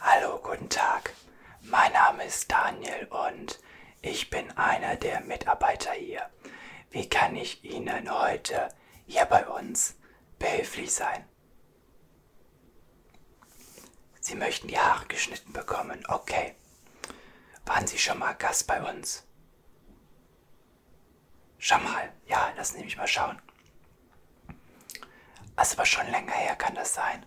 Hallo, guten Tag. Mein Name ist Daniel und ich bin einer der Mitarbeiter hier. Wie kann ich Ihnen heute hier bei uns behilflich sein? Sie möchten die Haare geschnitten bekommen. Okay. Waren Sie schon mal Gast bei uns? Schau mal. Ja, lass mich mal schauen. Das also war schon länger her, kann das sein?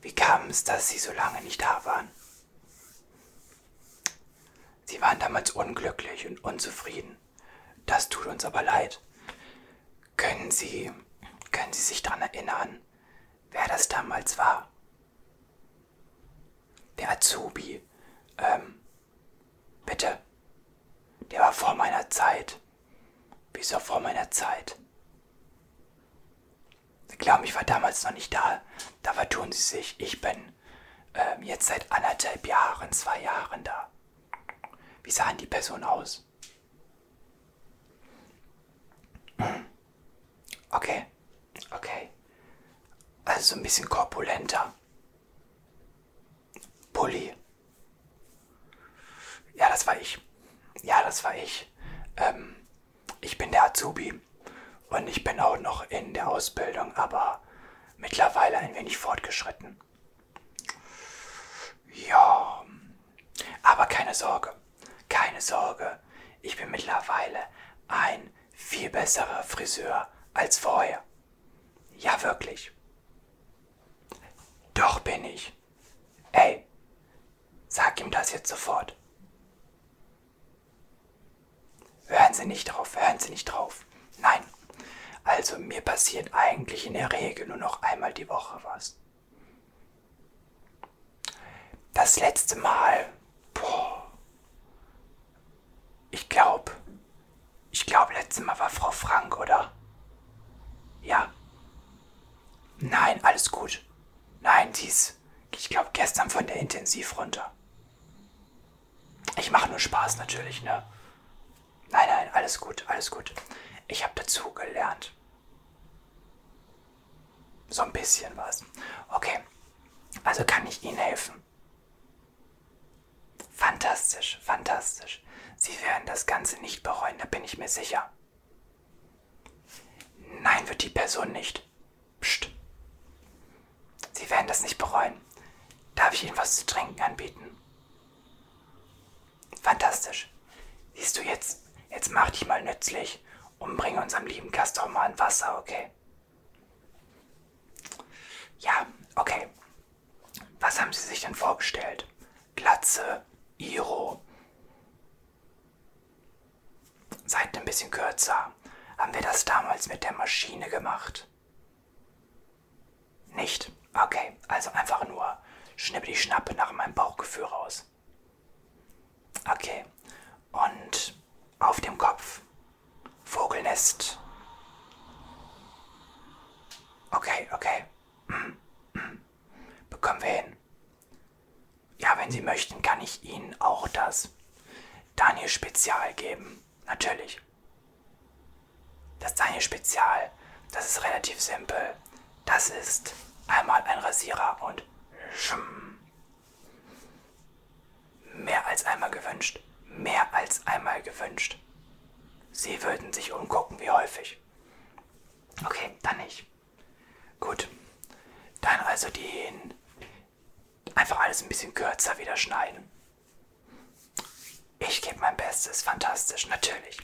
Wie kam es, dass Sie so lange nicht da waren? Sie waren damals unglücklich und unzufrieden. Das tut uns aber leid. Können Sie, können Sie sich daran erinnern, wer das damals war? Der Azubi, ähm, Bitte. Der war vor meiner Zeit. Wieso vor meiner Zeit? Ich glaube, ich war damals noch nicht da. Da vertun sie sich. Ich bin ähm, jetzt seit anderthalb Jahren, zwei Jahren da. Wie sahen die Personen aus? Okay. Okay. Also so ein bisschen korpulenter. Pulli. Ja, das war ich. Ja, das war ich. Ähm, ich bin der Azubi und ich bin auch noch in der Ausbildung, aber mittlerweile ein wenig fortgeschritten. Ja, aber keine Sorge, keine Sorge. Ich bin mittlerweile ein viel besserer Friseur als vorher. Ja, wirklich. Doch bin ich. Ey, sag ihm das jetzt sofort. Hören Sie nicht drauf, hören Sie nicht drauf. Nein. Also mir passiert eigentlich in der Regel nur noch einmal die Woche was. Das letzte Mal, boah, ich glaube. Ich glaube, letztes Mal war Frau Frank, oder? Ja. Nein, alles gut. Nein, sie ist, ich glaube, gestern von der Intensiv runter. Ich mache nur Spaß natürlich, ne? Nein, nein, alles gut, alles gut. Ich habe dazu gelernt. So ein bisschen was. Okay. Also kann ich Ihnen helfen? Fantastisch, fantastisch. Sie werden das Ganze nicht bereuen, da bin ich mir sicher. Nein, wird die Person nicht. Psst. Sie werden das nicht bereuen. Darf ich Ihnen was zu trinken anbieten? Fantastisch. Siehst du jetzt, jetzt mach dich mal nützlich und bring unserem lieben Gast auch mal ein Wasser, okay? Ja, okay. Was haben Sie sich denn vorgestellt? Glatze, Iro. Seid ein bisschen kürzer. Haben wir das damals mit der Maschine gemacht? Nicht. Okay, also einfach nur schnippe die Schnappe nach meinem Bauchgefühl raus. Okay. Und auf dem Kopf Vogelnest. Okay, okay. Hm, hm. Bekommen wir hin. Ja, wenn Sie möchten, kann ich Ihnen auch das Daniel Spezial geben. Natürlich. Das Daniel Spezial, das ist relativ simpel. Das ist einmal ein Rasierer und schum. Mehr als einmal gewünscht. Mehr als einmal gewünscht. Sie würden sich umgucken, wie häufig. Okay, dann nicht. Gut. Dann also den. Einfach alles ein bisschen kürzer wieder schneiden. Ich gebe mein Bestes, fantastisch, natürlich.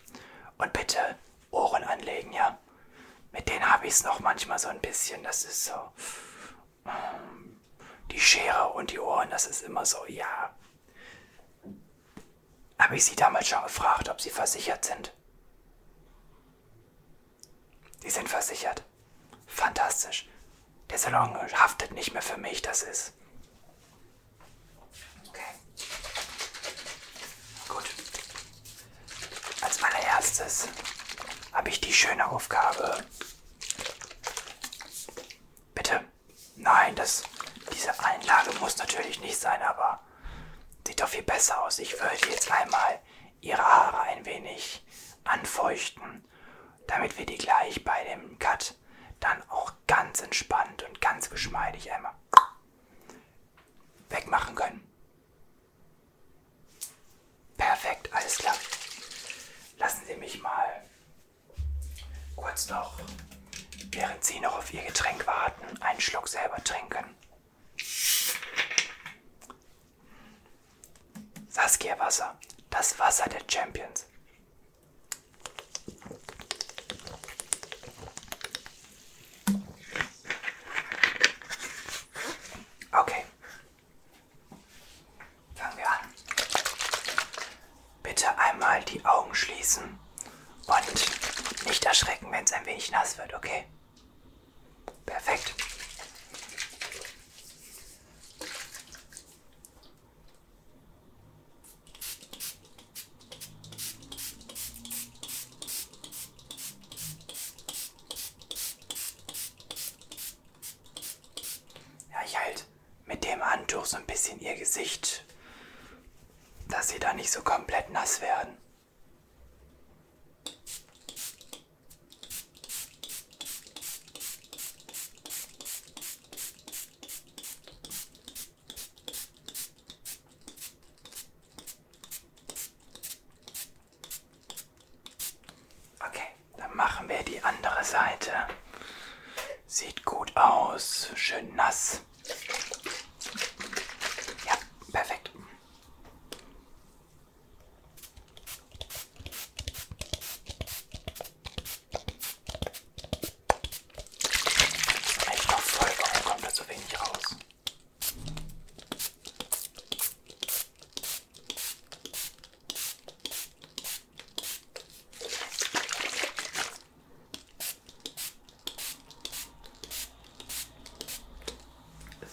Und bitte Ohren anlegen, ja? Mit denen habe ich es noch manchmal so ein bisschen, das ist so die Schere und die Ohren, das ist immer so, ja. Habe ich sie damals schon gefragt, ob sie versichert sind? Sie sind versichert. Fantastisch. Der Salon haftet nicht mehr für mich, das ist. Okay. Gut. Als allererstes habe ich die schöne Aufgabe, Bitte. Nein, das, diese Einlage muss natürlich nicht sein, aber sieht doch viel besser aus. Ich würde jetzt einmal Ihre Haare ein wenig anfeuchten, damit wir die gleich bei dem Cut dann auch ganz entspannt und ganz geschmeidig einmal wegmachen können. Perfekt, alles klar. Lassen Sie mich mal kurz noch, während Sie noch auf Ihr Getränk warten, einen Schluck selber trinken. Saskia Wasser, das Wasser der Champions. Okay, Fangen wir an. Bitte einmal die Augen schließen und nicht erschrecken, wenn es ein wenig nass wird, okay? Perfekt. Ja, ich halt mit dem Handtuch so ein bisschen ihr Gesicht, dass sie da nicht so komplett nass werden. Okay, dann machen wir die andere Seite. Sieht gut aus, schön nass. Ja, perfekt. Echt noch voll, warum kommt da so wenig raus?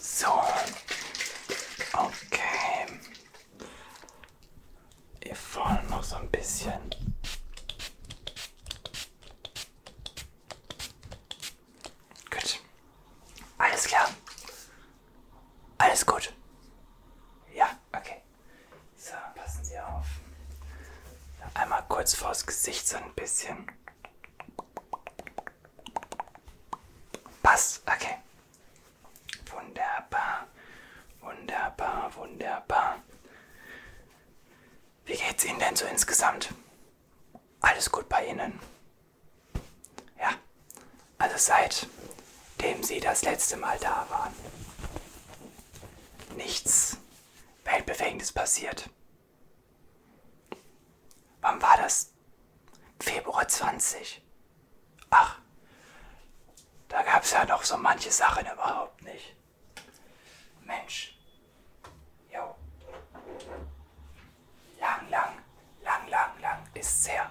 So, okay. Hier vorne noch so ein bisschen. Gut. Alles klar. Alles gut. Ja, okay. So, passen Sie auf. Einmal kurz vors Gesicht so ein bisschen. Passt, okay. Wunderbar, wunderbar, wunderbar. Wie geht's Ihnen denn so insgesamt? Alles gut bei Ihnen? Ja, also seitdem sie das letzte Mal da waren, nichts Weltbewegendes passiert. Wann war das? Februar 20. Ach, da gab es ja noch so manche Sachen überhaupt nicht. Mensch. Jo. Lang, lang, lang, lang, lang ist sehr.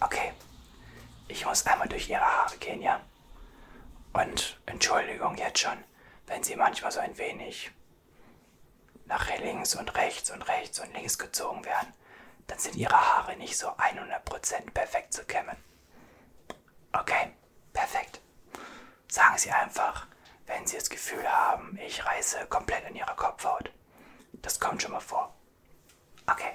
Okay. Ich muss einmal durch Ihre Haare gehen, ja? Und Entschuldigung jetzt schon, wenn Sie manchmal so ein wenig nach links und rechts und rechts und links gezogen werden, dann sind Ihre Haare nicht so 100% perfekt zu kämmen. Okay, perfekt. Sagen Sie einfach, wenn Sie das Gefühl haben, ich reiße komplett an Ihrer Kopfhaut. Das kommt schon mal vor. Okay.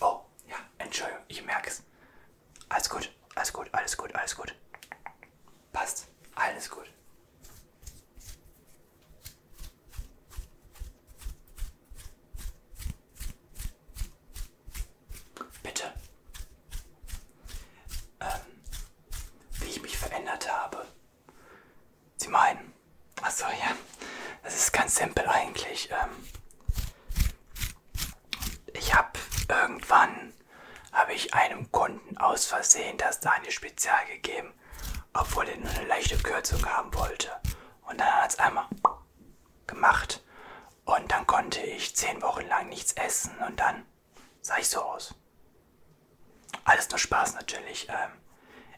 Oh, ja, Entschuldigung, ich merke es. Alles gut, alles gut, alles gut, alles gut. Passt, alles gut. Bitte. Ähm, wie ich mich verändert habe. Sie meinen? Achso, ja. Das ist ganz simpel eigentlich. Ähm, ich habe irgendwann habe ich einem Kunden aus Versehen das Daniel Spezial gegeben, obwohl er nur eine leichte Kürzung haben wollte. Und dann hat es einmal gemacht. Und dann konnte ich zehn Wochen lang nichts essen und dann sah ich so aus. Alles nur Spaß natürlich. Ähm,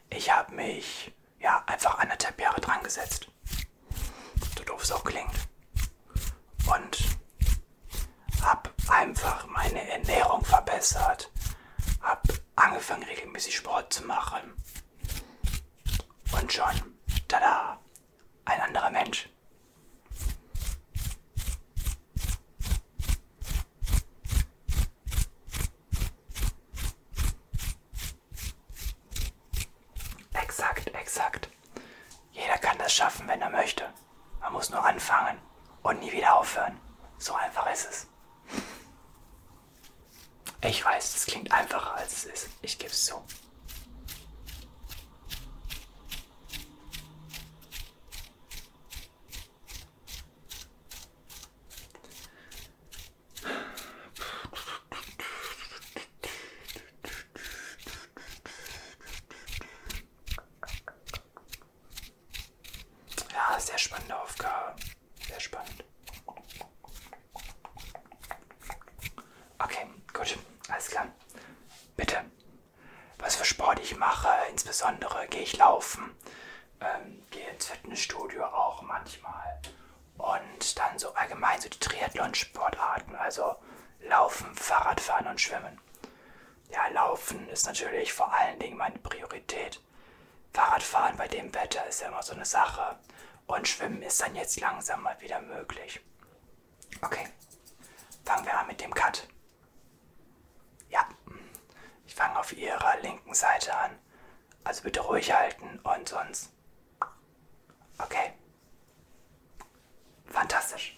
ich habe mich ja einfach anderthalb Jahre dran gesetzt. So doof es auch klingt. Und habe einfach meine Ernährung verbessert. Habe angefangen regelmäßig Sport zu machen. Und schon, tada, ein anderer Mensch. Exakt, exakt. Jeder kann das schaffen, wenn er möchte. Man muss nur anfangen und nie wieder aufhören. So einfach ist es. Ich weiß, das klingt einfacher als es ist. Ich gebe es zu. Ja, sehr spannende Aufgabe. Sehr spannend. Okay, gut, alles klar. Bitte. Was für Sport ich mache, insbesondere gehe ich laufen, ähm, gehe ins Fitnessstudio auch manchmal und dann so allgemein so die Triathlon-Sportarten, also Laufen, Fahrradfahren und Schwimmen. Ja, Laufen ist natürlich vor allen Dingen meine Priorität. Fahrradfahren bei dem Wetter ist ja immer so eine Sache. Und Schwimmen ist dann jetzt langsam mal wieder möglich. Okay, fangen wir an mit dem Cut. Ja, ich fange auf ihrer linken Seite an. Also bitte ruhig halten und sonst. Okay. Fantastisch.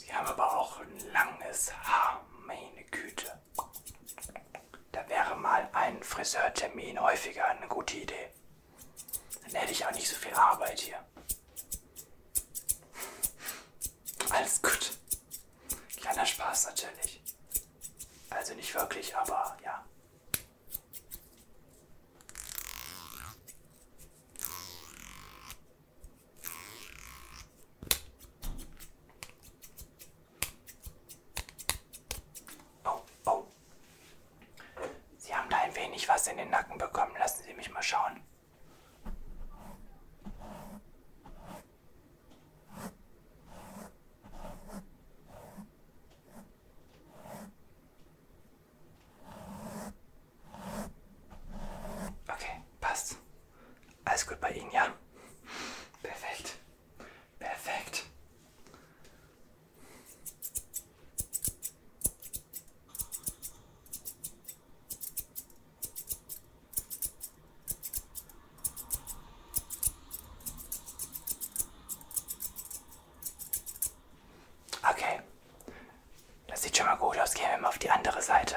Sie haben aber auch langes Haar, meine Güte. Da wäre mal ein Friseurtermin häufiger eine gute Idee. Dann hätte ich auch nicht so viel Arbeit hier. Alles gut. Kleiner Spaß natürlich. Also nicht wirklich, aber ja. Oh, oh. Sie haben da ein wenig was in den Nacken bekommen. Lassen Sie mich mal schauen. Okay, passt. Alles gut bei Ihnen, ja? Perfekt. Perfekt. Okay. Das sieht schon mal gut aus. Gehen wir mal auf die andere Seite.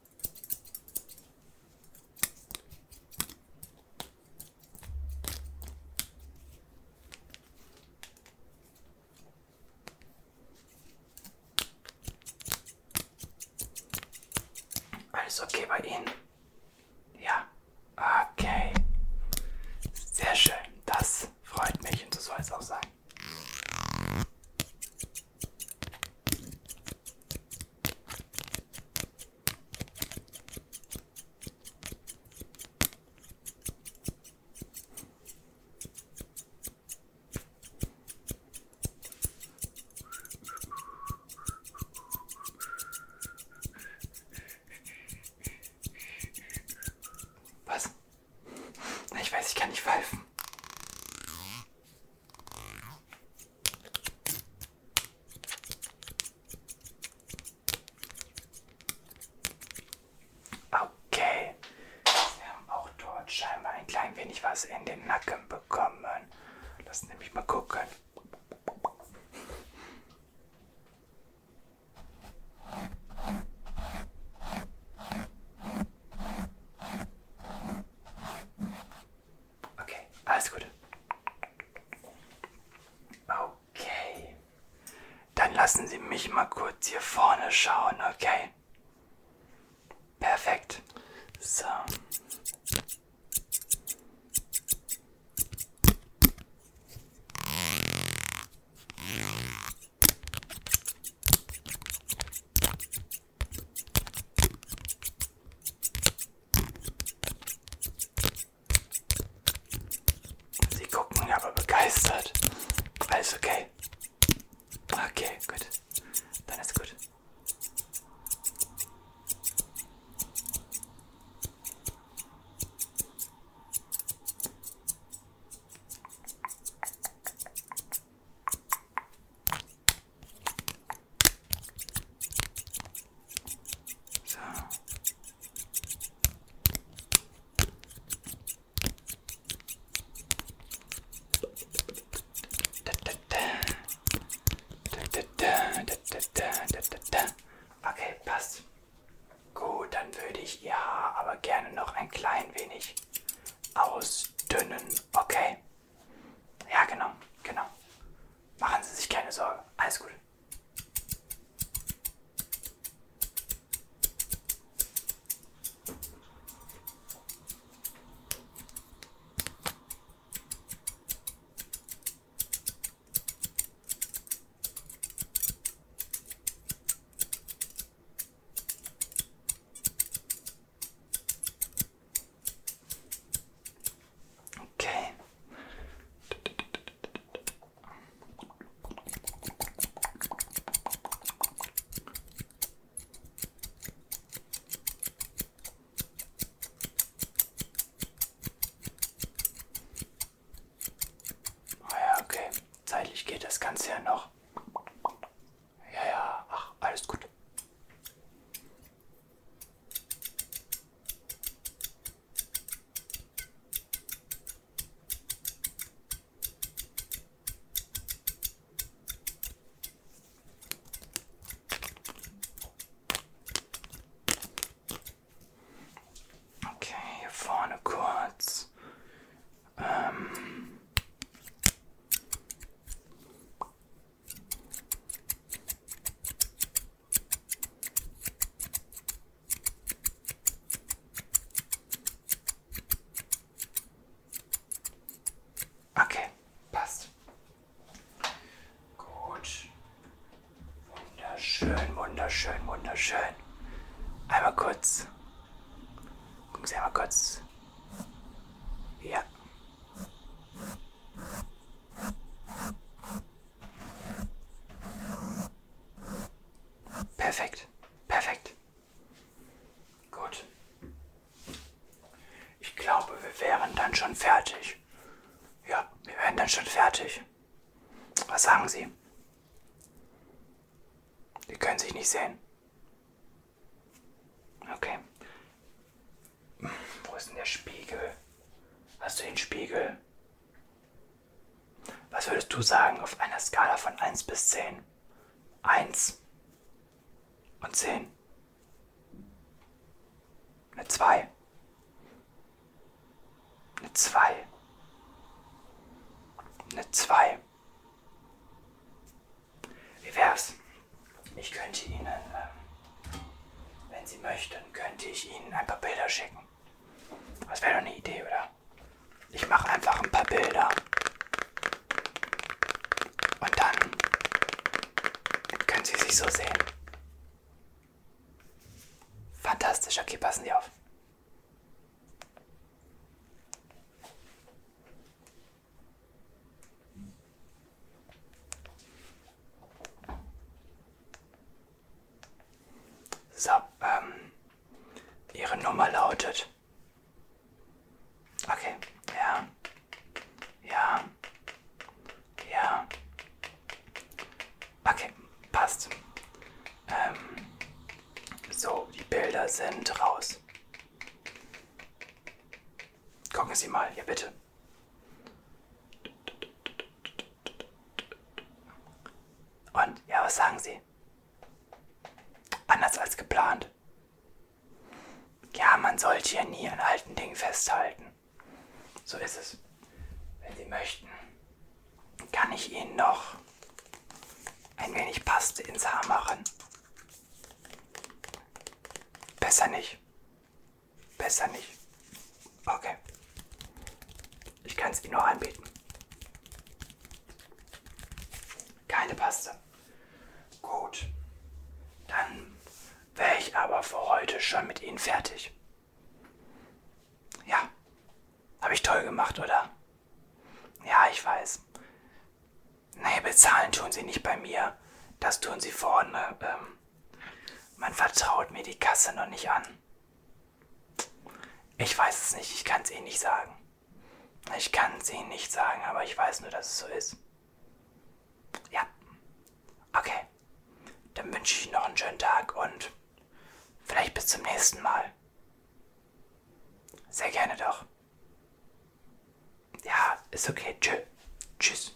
Alles okay bei Ihnen? Ja, okay. Sehr schön, das freut mich und so soll es auch sein. Was? Ich weiß, ich kann nicht pfeifen. Okay. Sie haben auch dort scheinbar ein klein wenig was in den Nacken bekommen. Lass nämlich mal gucken. Okay, alles Gute. Okay. Dann lassen Sie mich mal kurz hier vorne schauen, okay? Perfekt. So. Sie gucken aber begeistert. Alles okay. Okay, gut. Dann ist gut. So. Okay, passt. Gut, dann würde ich ja aber gerne noch ein klein wenig aus ausdünnen, okay? Ja, genau, genau. Machen Sie sich keine Sorge. Alles gut. Okay. Ah ja, okay. Zeitlich geht das Ganze ja noch. Ja, ja, ach, alles gut. Okay, hier vorne kurz. Ähm okay, passt. Gut. Wunderschön, wunderschön, wunderschön. Einmal kurz Gucken Sie mal kurz. Ja. Perfekt. Perfekt. Gut. Ich glaube, wir wären dann schon fertig. Ja, wir wären dann schon fertig. Was sagen Sie? Die können sich nicht sehen. Okay. Wo ist denn der Spiegel? Hast du den Spiegel? Was würdest du sagen auf einer Skala von 1 bis 10? 1 und 10. Eine 2. Eine 2. Eine 2. Wie wär's? Ich könnte Ihnen, ähm, wenn Sie möchten, könnte ich Ihnen ein paar Bilder schicken. Das wäre doch eine Idee, oder? Ich mache einfach ein paar Bilder. Und dann können Sie sich so sehen. Fantastisch, okay, passen Sie auf. So, ähm, Ihre Nummer lautet. Okay, ja. Ja. Ja. Okay, passt. Ähm, so, die Bilder sind raus. Gucken Sie mal, ja bitte. Und ja, was sagen Sie? Anders als geplant. Ja, man sollte ja nie an alten Dingen festhalten. So ist es. Wenn Sie möchten, kann ich Ihnen noch ein wenig Paste ins Haar machen. Besser nicht. Besser nicht. Okay. Ich kann es Ihnen noch anbieten. Keine Paste. Gut. Dann wäre ich aber für heute schon mit Ihnen fertig. Ja. Habe ich toll gemacht, oder? Ja, ich weiß. Nee, bezahlen tun sie nicht bei mir. Das tun sie vorne. Ähm, man vertraut mir die Kasse noch nicht an. Ich weiß es nicht, ich kann es eh nicht sagen. Ich kann es eh Ihnen nicht sagen, aber ich weiß nur, dass es so ist. Ja. Okay. Dann wünsche ich Ihnen noch einen schönen Tag und vielleicht bis zum nächsten Mal. Sehr gerne doch. Ja, ist okay. Tschö. Tschüss.